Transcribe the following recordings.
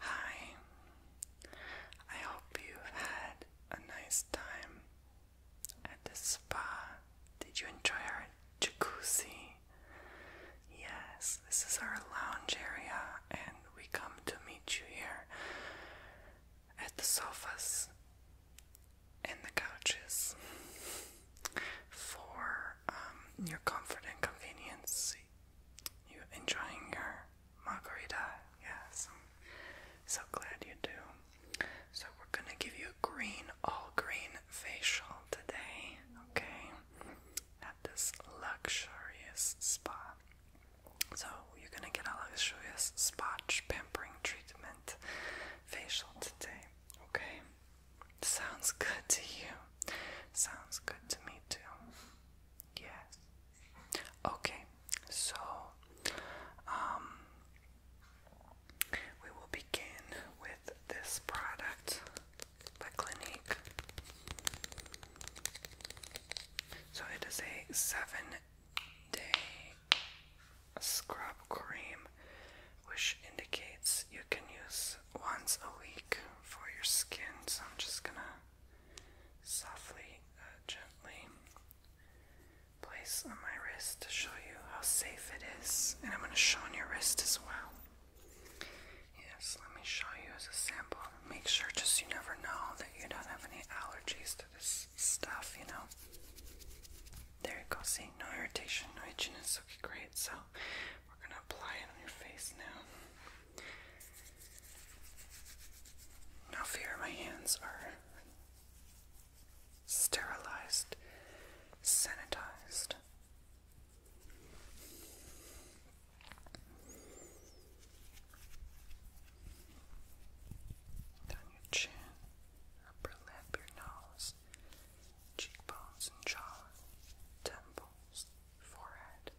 Hi, I hope you've had a nice time at the spa. Did you enjoy our jacuzzi? Yes, this is our lounge area, and we come to meet you here at the sofas and the couches for um, your comfort and convenience you enjoying your margarita? Yes, so glad you do. So, we're gonna give you a green, all green facial today, okay? At this luxurious spa. So, you're gonna get a luxurious spot pampering treatment facial today, okay? Sounds good to you. Sounds good to me too. Yes. Okay, so um we will begin with this product by Clinique. So it is a seven day scrub cream which indicates you can use once a week for your skin, so I'm just gonna softly, uh, gently place on my wrist to show you how safe it is, and I'm gonna show on your wrist as well. Yes, let me show you as a sample. Make sure, just you never know that you don't have any allergies to this stuff, you know. There you go, see, no irritation, no itchiness. Okay, great. So we're going to apply it on your face now. Now, fear my hands are sterilized, sanitized. Down your chin, upper lip, your nose, cheekbones and jaw, temples, forehead,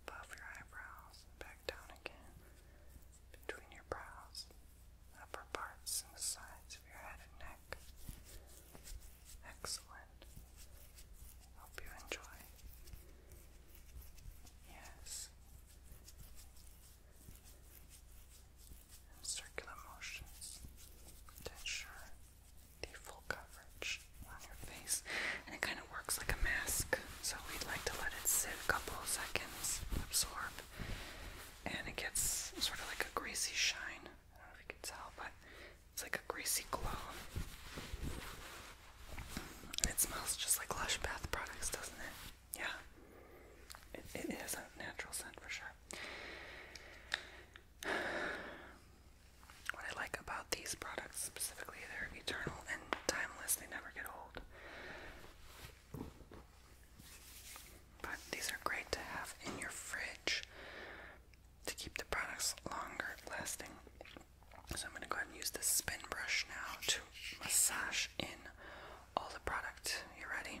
above your eyebrows, back down again, between your brows, upper parts and the sides of your head and neck. Excellent. Hope you enjoy. Yes. circular motions to the full coverage on your face. And it kind of works like a mask. So we'd like to let it sit a couple seconds, absorb, and it gets sort of like a greasy shine. I don't know if you can tell, but it's like a greasy glow. it smells just like Lush bath products, doesn't it? Yeah. It, it is a natural scent for sure. What I like about these products specifically, they're eternal and timeless, they never get old. But these are great to have in your fridge to keep the products longer lasting. So I'm going to go ahead and use this spin brush now to massage in all the product. You ready?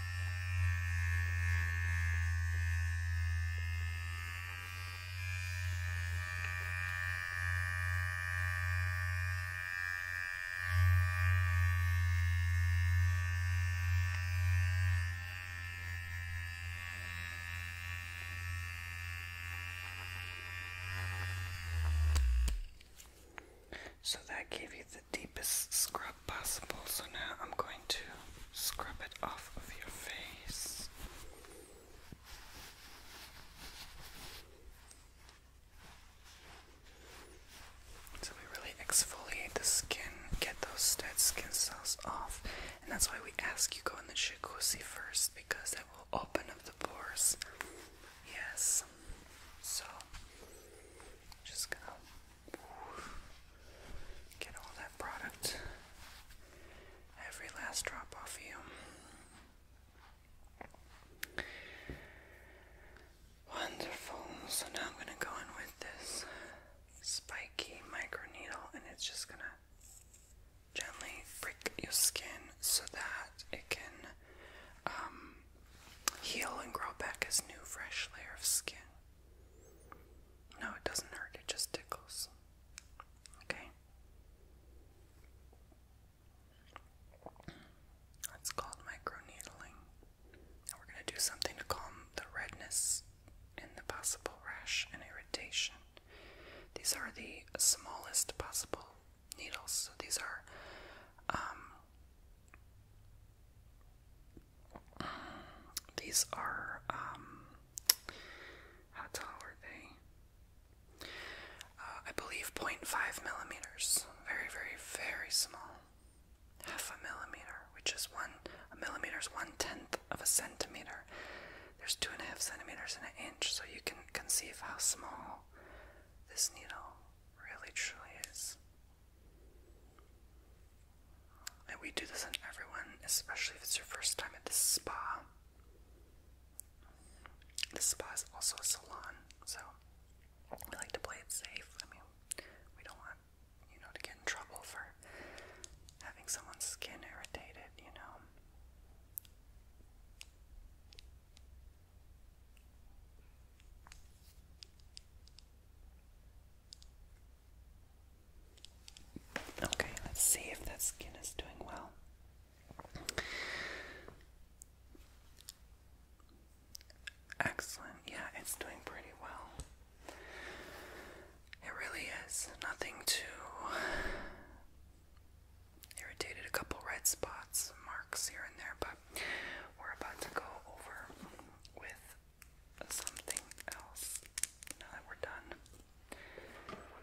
So that gave you the deepest scratch possible, so now I'm going to scrub it off of your face. So we really exfoliate the skin, get those dead skin cells off, and that's why we ask you go in the jacuzzi first because that will open up the pores. Yes. So just going Get all that product, every last drop off you. Wonderful. So now I'm going to go in with this spiky micro needle, and it's just going to gently break your skin so that it can um, heal and grow back as new, fresh layer of skin. No, it doesn't hurt, it just tickles. Okay. It's called microneedling. And we're going to do something to calm the redness and the possible rash and irritation. These are the smallest possible needles. So these are um, these are, um, how tall are they? Uh, I believe 0.5 millimeters. Very, very, very small. Half a millimeter, which is one, millimeters millimeter is one tenth of a centimeter. There's two and a half centimeters in an inch, so you can conceive how small this needle really truly is. And we do this on everyone, especially if it's your first time at this spa. This spa is also a salon, so we like to play it safe. I mean, we don't want, you know, to get in trouble for having someone's skin irritated, you know. Okay, let's see if that skin is doing well. Excellent. Yeah, it's doing pretty well. It really is. Nothing too irritated. A couple red spots, marks here and there, but we're about to go over with something else now that we're done.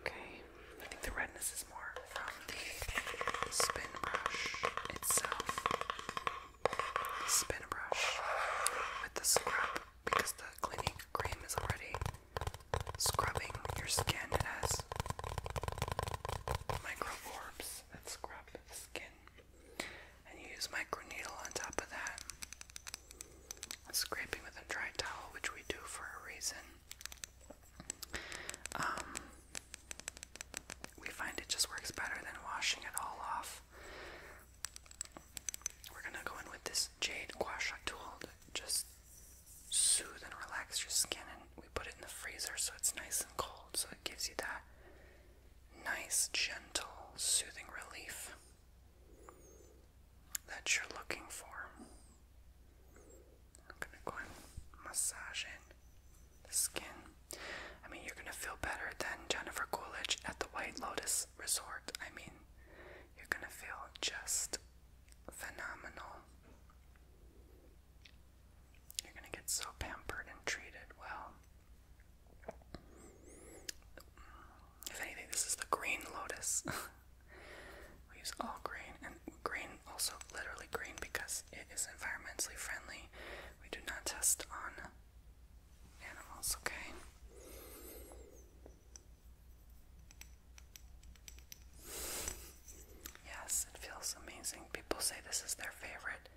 Okay, I think the redness is more from the spin brush itself. Spin brush with the scrub because the Clinique cream is already scrubbing your skin. It has microforbs that scrub the skin and you use micro needle on top of that. Scraping with a dry towel, which we do for a reason. Um, we find it just works better than washing it all off. We're gonna go in with this jade guasha tool to just soothe and relax your skin, and we put it in the freezer so it's nice and cold, so it gives you that nice, gentle, soothing relief that you're looking for. I'm gonna go and massage in the skin. I mean, you're gonna feel better than Jennifer Coolidge at the White Lotus Resort. I mean, you're gonna feel just phenomenal. You're gonna get so pampered and treated well. If anything, this is the green lotus. we use all green, and green also literally green because it is environmentally friendly. We do not test on animals, okay? Yes, it feels amazing. People say this is their favorite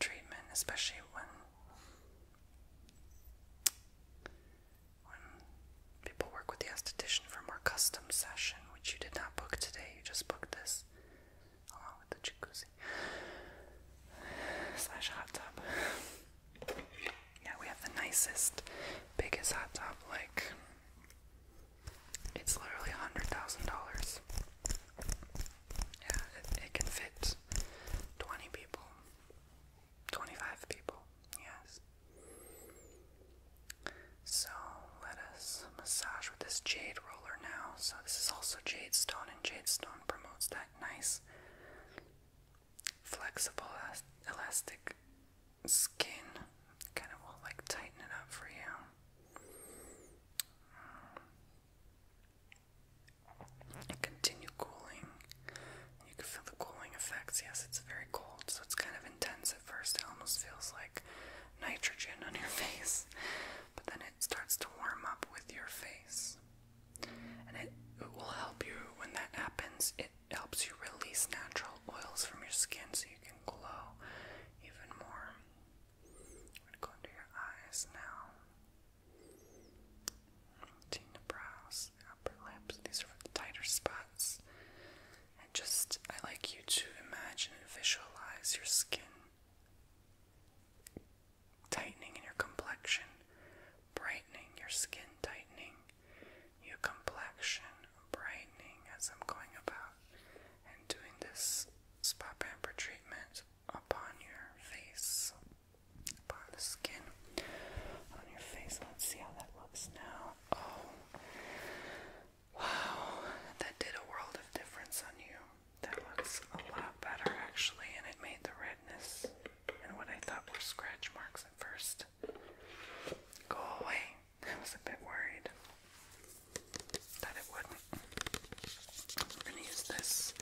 treatment, especially when when people work with the esthetician for a more custom session, which you did not book today, you just booked this along with the jacuzzi slash hot tub. Yeah, we have the nicest, biggest hot tub. Like, it's literally $100,000. Yeah, it can fit 20 people. 25 people, yes. So let us massage with this jade roller now. So this is also jade stone, and jade stone promotes that nice, flexible, elastic skin. Kind of will like tighten it up for you and continue cooling. You can feel the cooling effects. Yes, it's very cold, so it's kind of intense at first. It almost feels like nitrogen on your face, but then it starts to warm up with your face. And it, it will help you when that happens. It helps you release natural oils from your skin so you can glow even more. i go under your eyes now. Routine brows, upper lips, these are the tighter spots. And just, I like you to imagine and visualize your skin tightening in your complexion, brightening your skin, tightening your complexion, brightening as I'm going about and doing this spot pamper treatment upon your face, upon the skin on your face. Let's see how that looks now. Oh, wow, that did a world of difference on you. That looks a lot better actually, and it made the redness and what I thought were scratch marks at first go away. I was a bit worried that it wouldn't. I'm going to use this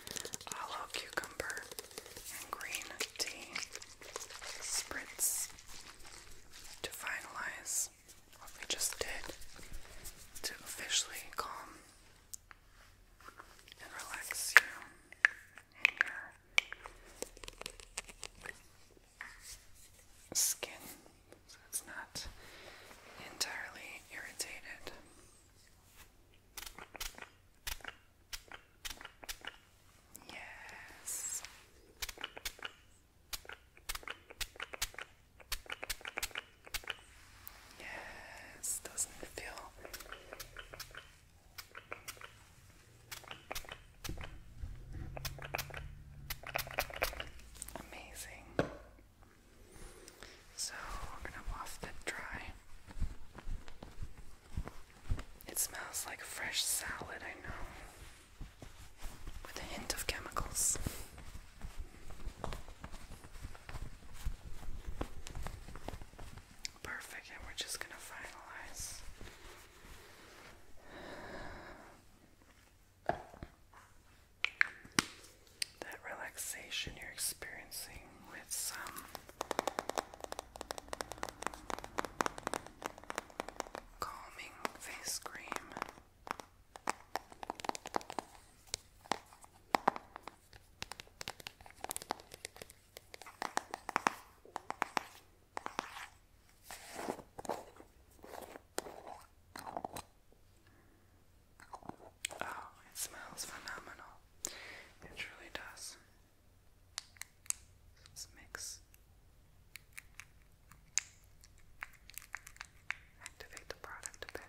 aloe cucumber and green tea spritz to finalize what we just did to officially calm and relax you your skin so it's not entirely irritated. Yes. Yes, doesn't it feel amazing? So we're gonna waft that dry. It smells like fresh salad, I know, with a hint of chemicals. Perfect, and we're just gonna finalize that relaxation you're experiencing with some calming face cream. Oh, it smells phenomenal. It truly does. let mix. Activate the product a bit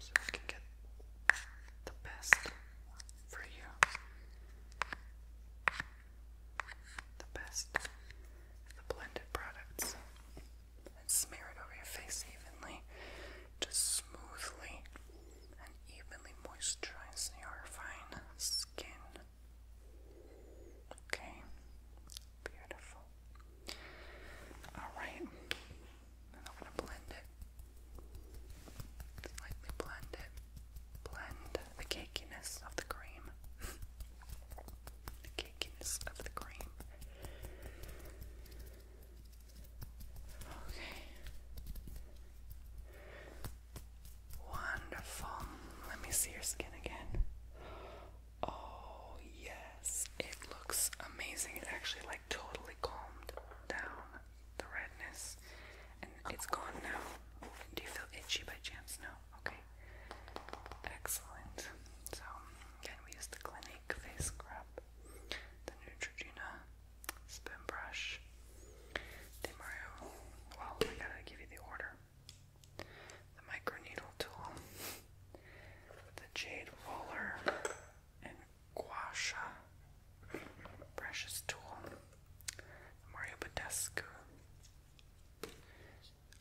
so I can get the best for you. The best the blended products. And smear it over your face evenly, just smoothly and evenly moisturize your fine skin. Okay, Beautiful. Alright. I'm gonna blend it. Slightly blend it. Blend the cakiness of the cream. the cakiness of the cream. Okay. Wonderful. Let me see your skin again. Oh, yes. It looks amazing. It actually, like, totally calmed down the redness. And it's gone now. Do you feel itchy by chance? No? Okay. Excellent. So, again, we use the Clinique face scrub, the Neutrogena spin brush, De Mario. Well, I gotta give you the order the microneedle tool, the jade roller, and guasha. precious tool, Mario Badescu,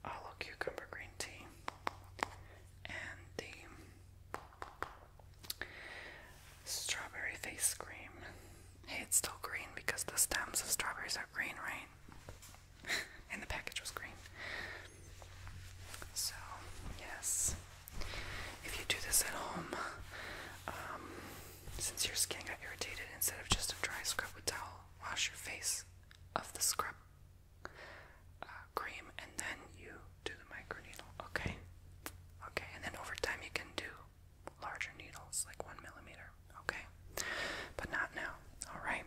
aloe cucumber green tea, and the strawberry face cream. Hey, it's still green because the stems of strawberries are green, right? and the package was green. So, yes, if you do this at home, um, since your skin got irritated, instead of just a dry scrub with towel, wash your face of the scrub uh, cream and then you do the microneedle, okay? Okay, and then over time you can do larger needles, like one millimeter, okay? But not now, alright?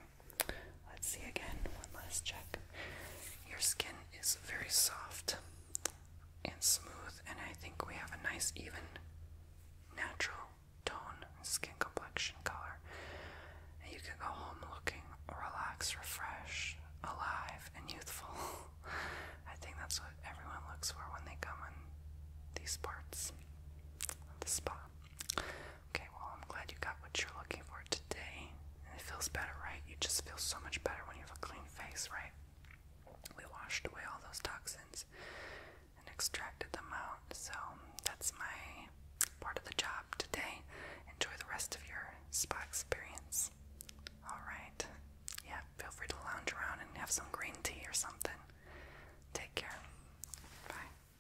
Let's see again, one last check. Your skin is very soft and smooth, and I think we have a nice, even, natural tone skin complexion color. And you can go home looking relaxed, refreshed, alive, and youthful. I think that's what everyone looks for when they come in these parts of the spa. Okay, well, I'm glad you got what you're looking for today. And it feels better, right? You just feel so much better when you have a clean face, right? We washed away all those toxins and extracted them out. So that's my part of the job today. Enjoy the rest of your spa experience. Alright. Yeah, feel free to lounge around and have some green tea or something. Take care. Bye.